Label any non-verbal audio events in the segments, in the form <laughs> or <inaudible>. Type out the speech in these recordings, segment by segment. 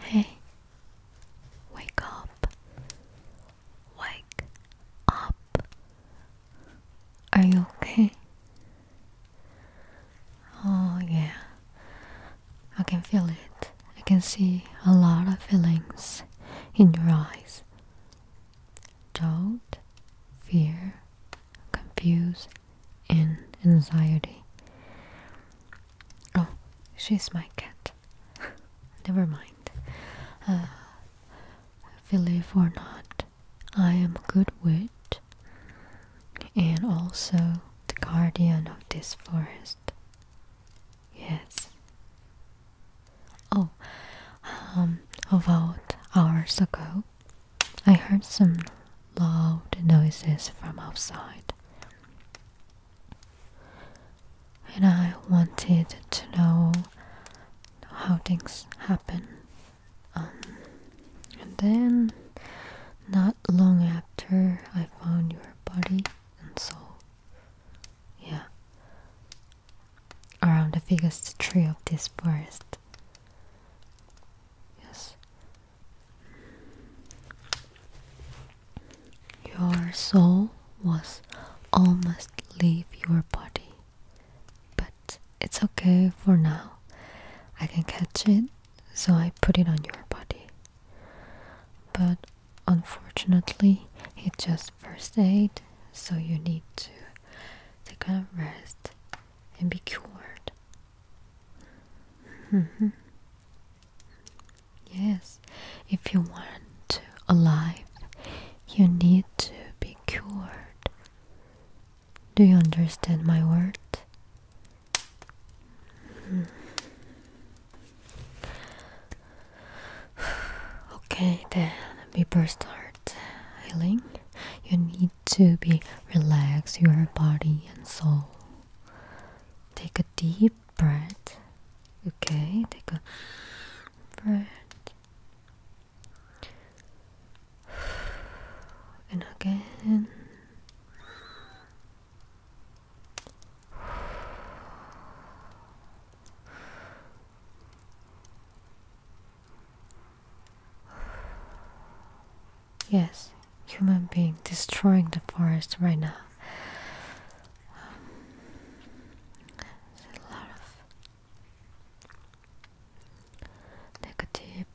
Hey, wake up. Wake up. Are you okay? Oh, yeah. I can feel it. I can see a lot of feelings in your eyes doubt, fear, confusion, and anxiety. Oh, she's my cat. <laughs> Never mind. Uh, believe or not, I am good wit, and also the guardian of this forest. Yes. Oh, um, about hours ago, I heard some loud noises from outside. And I wanted to know how things happen. Um, and then, not long after, I found your body and soul. Yeah. Around the biggest tree of this forest. Yes. Your soul was almost leave your body. But it's okay for now. I can catch it, so I put it on your body. But unfortunately, it's just first aid, so you need to take a rest and be cured. Mm-hmm. yes, if you want to alive, you need to be cured. Do you understand my word? Mm-hmm. <sighs> okay, then before start healing, you need to be relax your body and soul. Take a deep breath. Okay, take a breath. <sighs> And again, Yes, human being destroying the forest right now. Um, a lot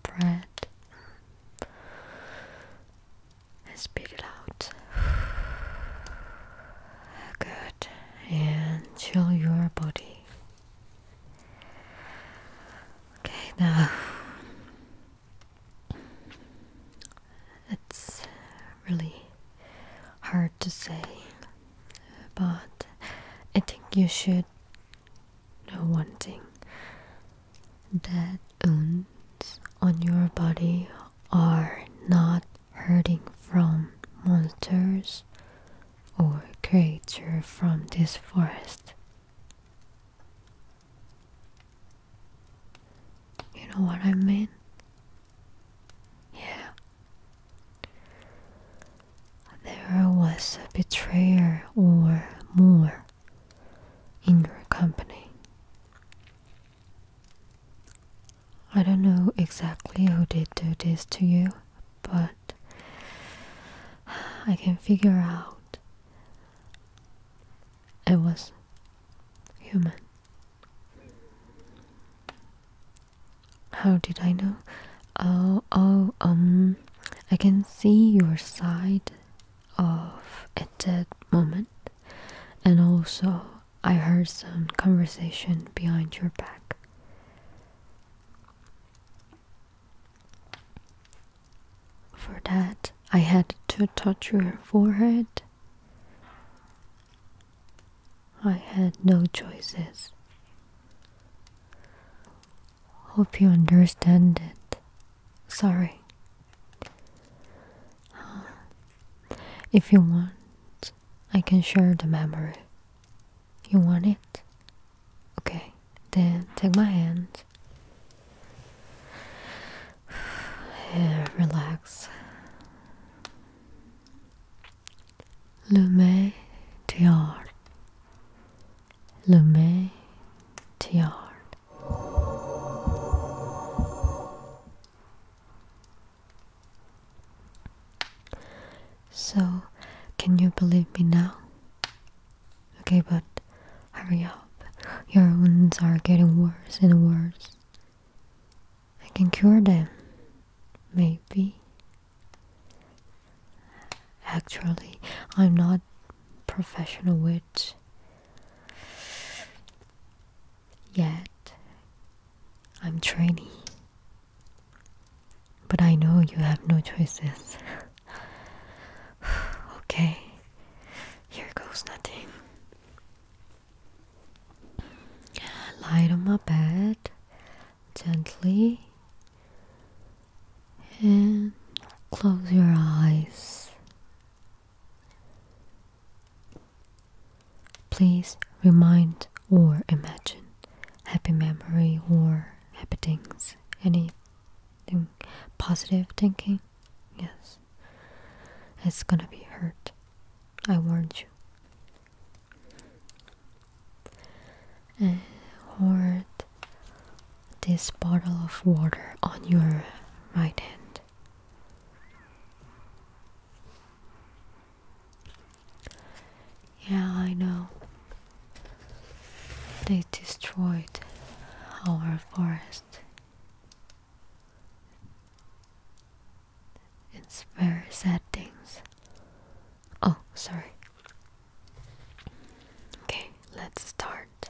breath and spit it out. Good, and chill your body. Okay, now it's really hard to say, but I think you should know one thing that. Un on your body are not hurting from monsters or creature from this forest. You know what I mean? Yeah. There was a betrayer or more in your company. I don't know exactly who did do this to you, but I can figure out it was human. How did I know? Oh, oh, um, I can see your side of at that moment. And also, I heard some conversation behind your back. For that, I had to touch your forehead. I had no choices. Hope you understand it. Sorry Ah. if you want, I can share the memory. You want it? Okay, then take my hand. Yeah, <sighs> relax. Lume Tiar. So, can you believe me now? Okay, but hurry up. Your wounds are getting worse and worse. I can cure them. Maybe. Actually, I'm not professional witch. Yet, I'm trainee. But I know you have no choices. <sighs> okay, here goes nothing. Light on my bed gently and close your eyes Please remind or imagine happy memory or happy things, Any positive thinking. Yes, it's gonna be hurt. I warned you. And hoard this bottle of water on your right hand. Yeah, I know. They destroyed our forest. It's very sad things. Oh, sorry. Okay, let's start.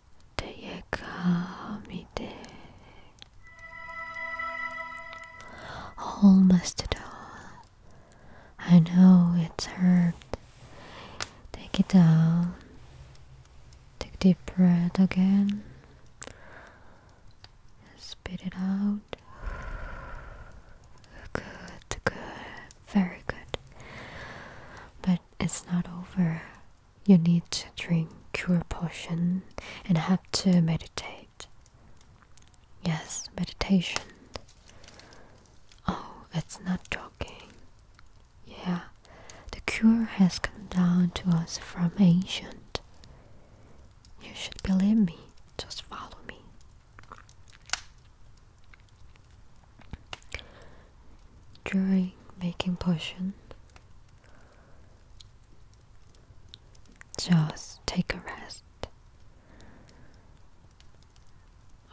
때에 감이 돼 Almost done. I know it's hurt. Take it down. Take deep breath again. Spit it out. Good, good, very good. But it's not over you need to drink cure potion and have to meditate. Yes, meditation. Oh, it's not joking. Yeah, the cure has come down to us from ancient. You should believe me, just follow me. During making potion, just take a rest.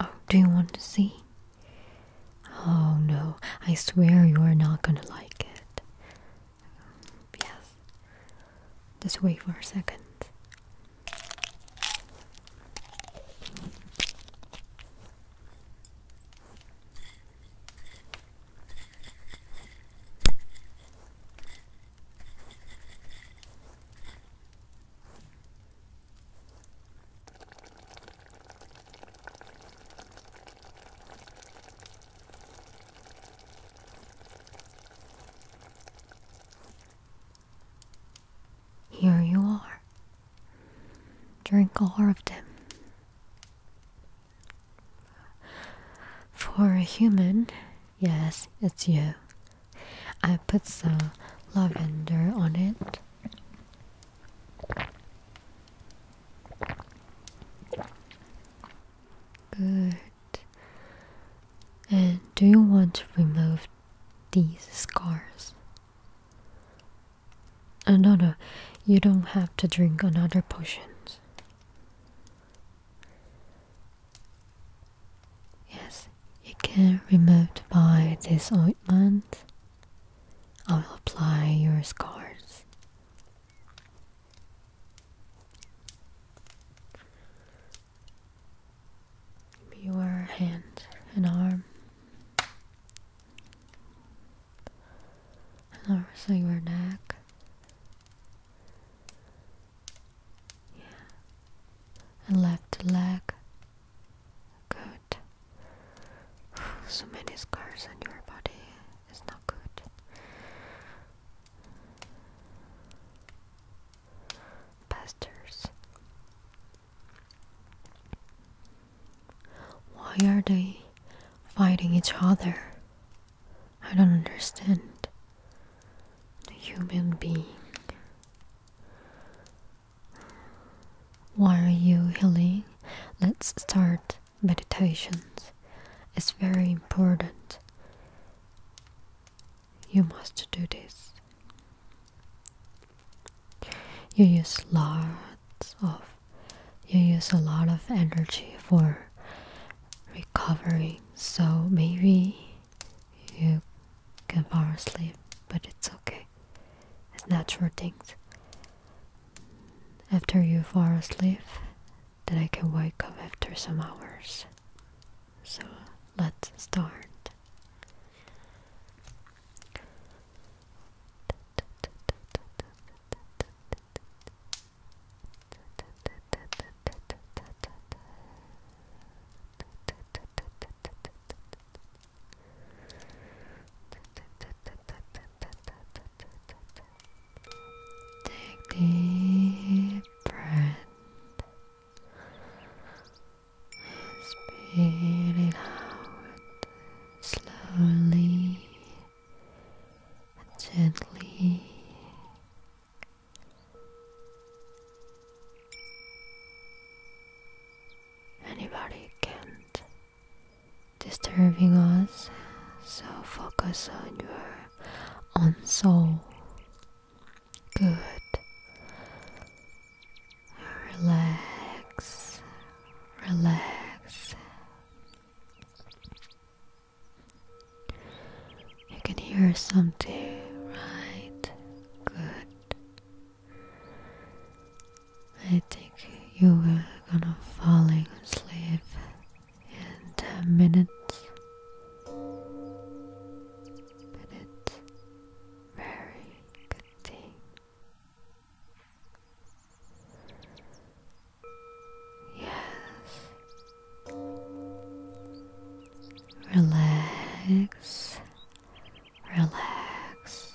Oh, do you want to see? Oh no, I swear you are not gonna like it. yes. Just wait for a second. Here you are. Drink all of them. For a human, yes, it's you. I put some lavender on it. Good. And do you want to remove these scars? Uh, no, no, you don't have to drink another potion. Yes, you can remove by this ointment. I'll apply your scars. Your hand and arm lower so neck. Yeah. And left leg. Good. So many scars on your body is not good. Pastures. Why are they fighting each other? I don't understand. The human being. Why are you healing? Let's start meditations. It's very important. You must do this you use lots of you use a lot of energy for recovering so maybe you can fall asleep but it's okay it's natural things after you fall asleep then i can wake up after some hours so let's start Take deep breath. Speed slowly and gently. Anybody can't disturbing us, so focus on your own soul. Good. Relax, relax. You can hear something, right? Good. I think you were gonna falling asleep in ten minutes, but it's very good thing. Yes. Relax. Relax.